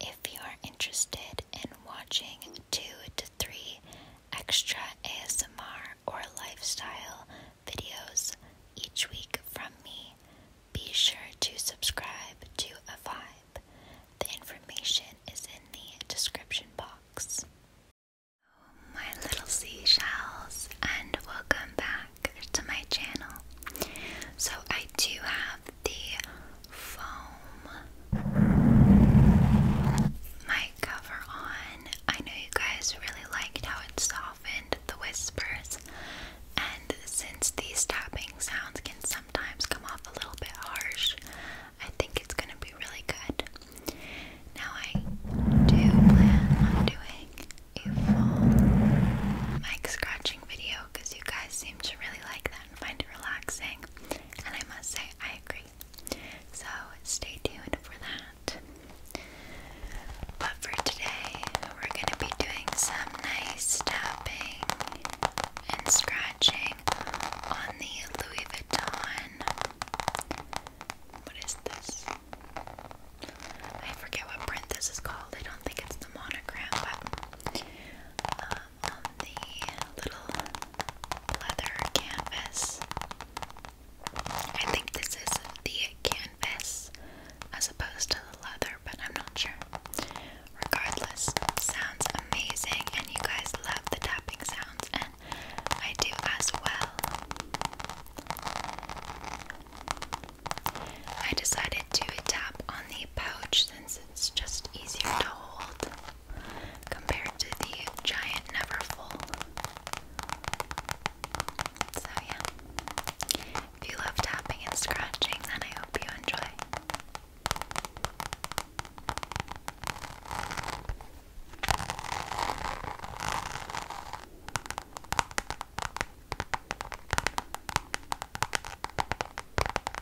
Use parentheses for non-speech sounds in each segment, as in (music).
If you are interested in watching two to three extra ASMR or lifestyle videos each week from me, be sure to subscribe to a vibe. The information is in the description box. My little seashells, and welcome back to my channel. So, I do have the foam mic cover on. I know you guys really liked how it softened the whispers, and since these tapping sounds can sometimes come off a little bit harsh, I think it's going to be really good. Now, I do plan on doing a full mic scratching video because you guys seem to really like that and find it relaxing. And I must say, I agree. So stay tuned for that. But for today, we're going to be doing some nice tapping and scratching on the Louis Vuitton. What is this? I forget what print this is called. I don't think it's the monogram, but uh, on the little leather canvas. I think this is the canvas as opposed to the leather, but I'm not sure. Regardless, sounds amazing, and you guys love the tapping sounds, and I do as well. I decided to tap on the pouch since it's just easier to hold compared to the giant Neverfull. So, yeah. If you love tapping and scratching, then I hope you enjoy.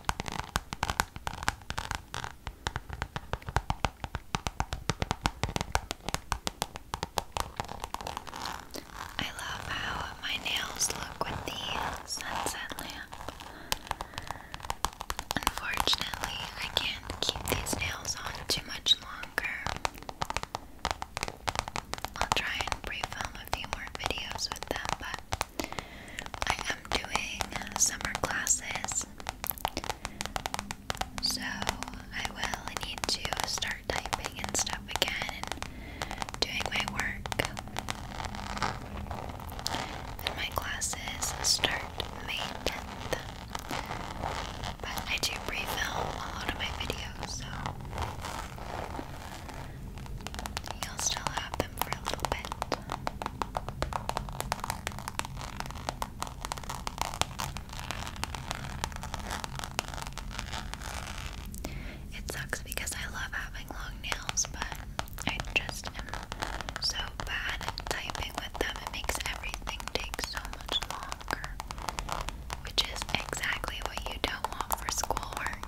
I love how my nails look with the sunset lamp. Unfortunately, I can't keep these nails on too much longer. I'll try and pre-film a few more videos with them, but I am doing summer classes, so I will need to start typing and stuff again and doing my work. And my classes start May 10th, but I do pre a lot of my videos, so you'll still have them for a little bit. It sucks because I love having long nails, but I just am so bad typing with them. It makes everything take so much longer, which is exactly what you don't want for schoolwork.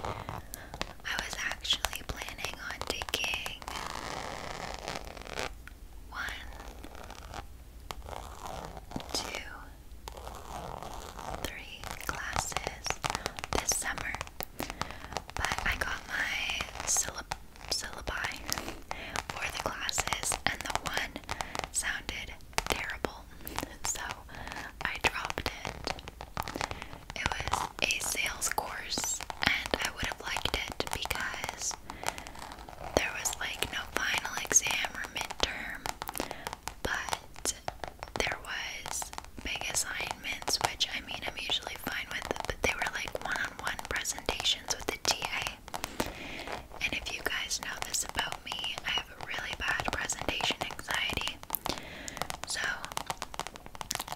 I was actually planning on taking one, two, three classes this summer, but I got my syllabus syllabi for the classes, and the one sounded terrible, (laughs) so I dropped it. It was a sales course, and I would have liked it because there was like no final exam or midterm, but there was big assignments, which I mean I'm usually fine with, but they were like one one presentations with the TA. And if you guys know this about me, I have really bad presentation anxiety. So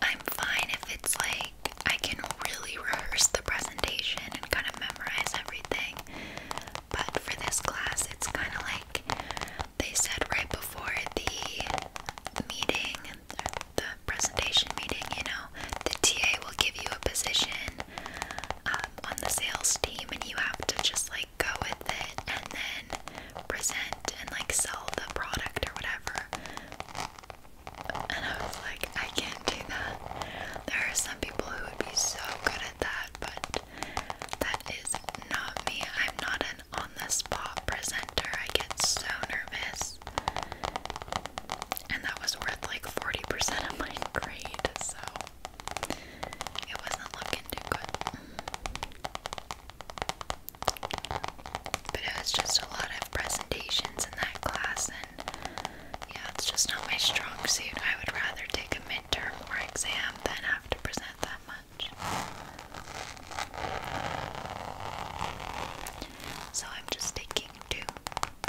I'm fine if it's like I can really rehearse the presentation and kind of memorize everything. But for this class, it's kind of like they said right before the meeting the presentation meeting, you know, the TA will give you a position um, on the sales team, and you have to just like go with it and then present and like sell the product or whatever. And I was like, I can't do that. There are some people who would be so good at that, but that is not me. I'm not an on the spot presenter. I get so nervous and that was worth like 40% of my grade, so it wasn't looking too good. But it was just a lot of presentations in that class, and yeah, it's just not my strong suit. I would rather take a midterm or exam than have to present that much. So I'm just taking two.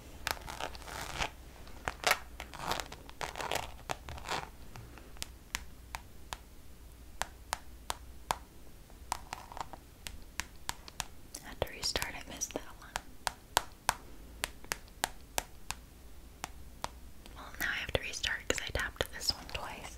I had to restart, I missed that one. Well, now I have to restart because I tapped this one twice.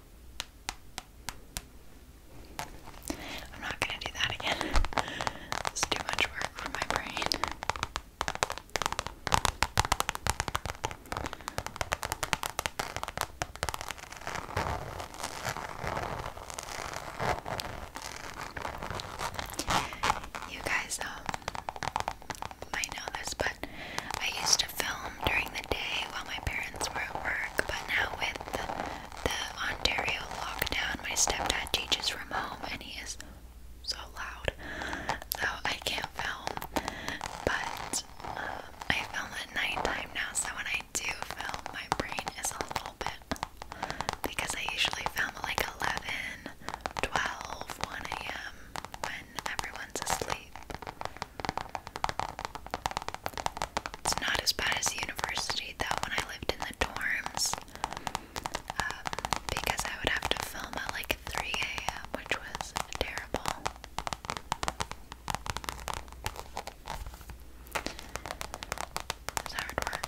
I'm not gonna do that again. (laughs) It's too much work for my brain. You guys um, might know this, but I used to film during the day while my parents were at work, but now with the, Ontario lockdown, my stepdad teaches from home and he is so loud, so I can't film. But um, I film at nighttime now, so when I do film, my brain is a little bit because I usually film like 11, 12, 1 a.m. when everyone's asleep. It's not as bad as university though when I lived in the dorms um, because I would have to film at like 3 a.m., which was terrible. It was hard work.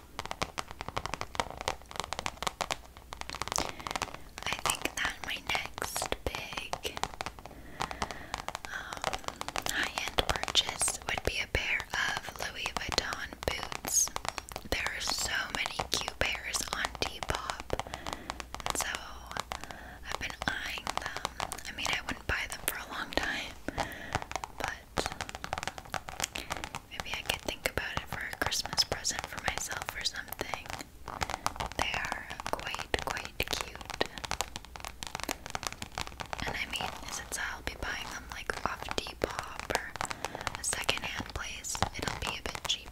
I think that my next big um, high-end purchase would be a pair of Louis Vuitton boots. There are so many cute pairs on Depop, so I've been eyeing them. I mean, I wouldn't buy them for a long time, but Maybe I could think about it for a Christmas present for myself or something. They are quite, quite cute. And I mean, since I'll be buying them like off pop or a secondhand place, it'll be a bit cheaper.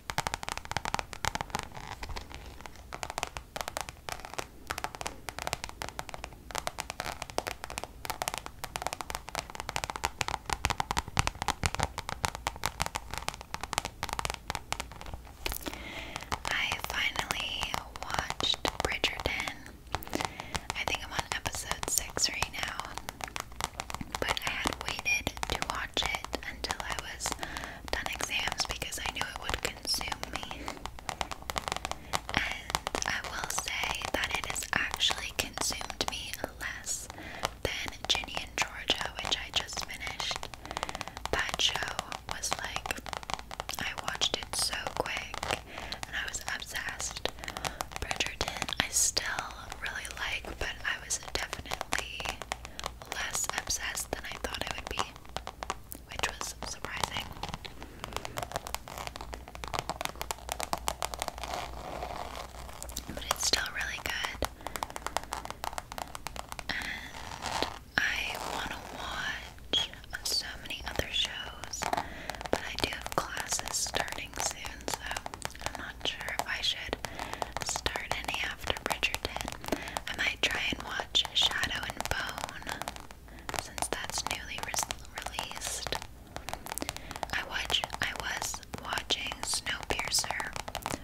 I finally watched Bridgerton. I think I'm on episode 6 right now. But I had waited to watch it until I was done exams because I knew it would consume me. And I will say that it has actually consumed me less than Ginny and Georgia, which I just finished. That show was like, I watched it so quick and I was obsessed. Bridgerton, I still really like, but I was definitely less obsessed than I thought it would be, which was surprising. But it's still really good. And I want to watch so many other shows, but I do have classes starting soon, so I'm not sure if I should start after Bridgerton. I might try and watch Shadow and Bone since that's newly released. I watch I was watching Snowpiercer,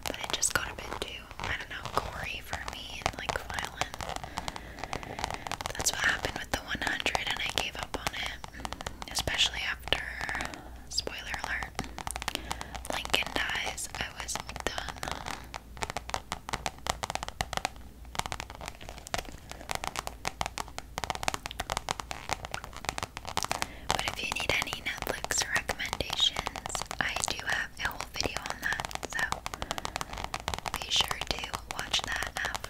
but it just got a bit too I don't know gory for me and like violent. That's what happened with the 100, and I gave up on it, especially after spoiler alert Lincoln dies. I was done. But if you need any Netflix recommendations, I do have a whole video on that, so be sure to watch that after.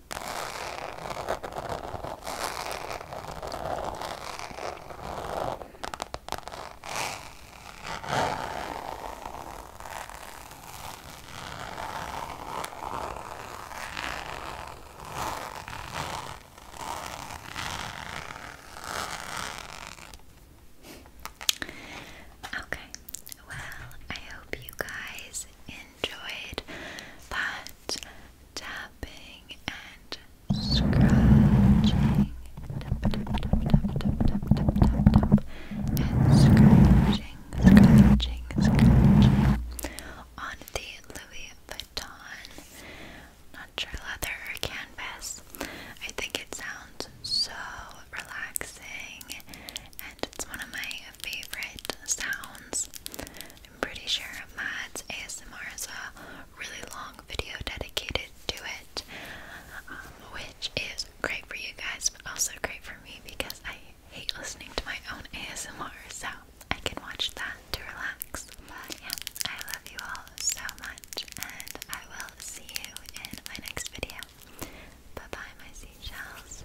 Okay, well, I hope you guys enjoyed that tapping and scratching. Tap, tap, tap, tap, tap, tap, tap, And scratching, scratching, scratching. On the Louis Vuitton not sure leather or canvas. I think it sounds so relaxing and it's one of my favorite sounds. I'm pretty sure Mads ASMR is a really long video dedicated to it, um, which is great for you guys, but also great for me because I hate listening to my own ASMR, so I can watch that to relax. But yeah, I love you all so much, and I will see you in my next video. Bye bye, my seashells.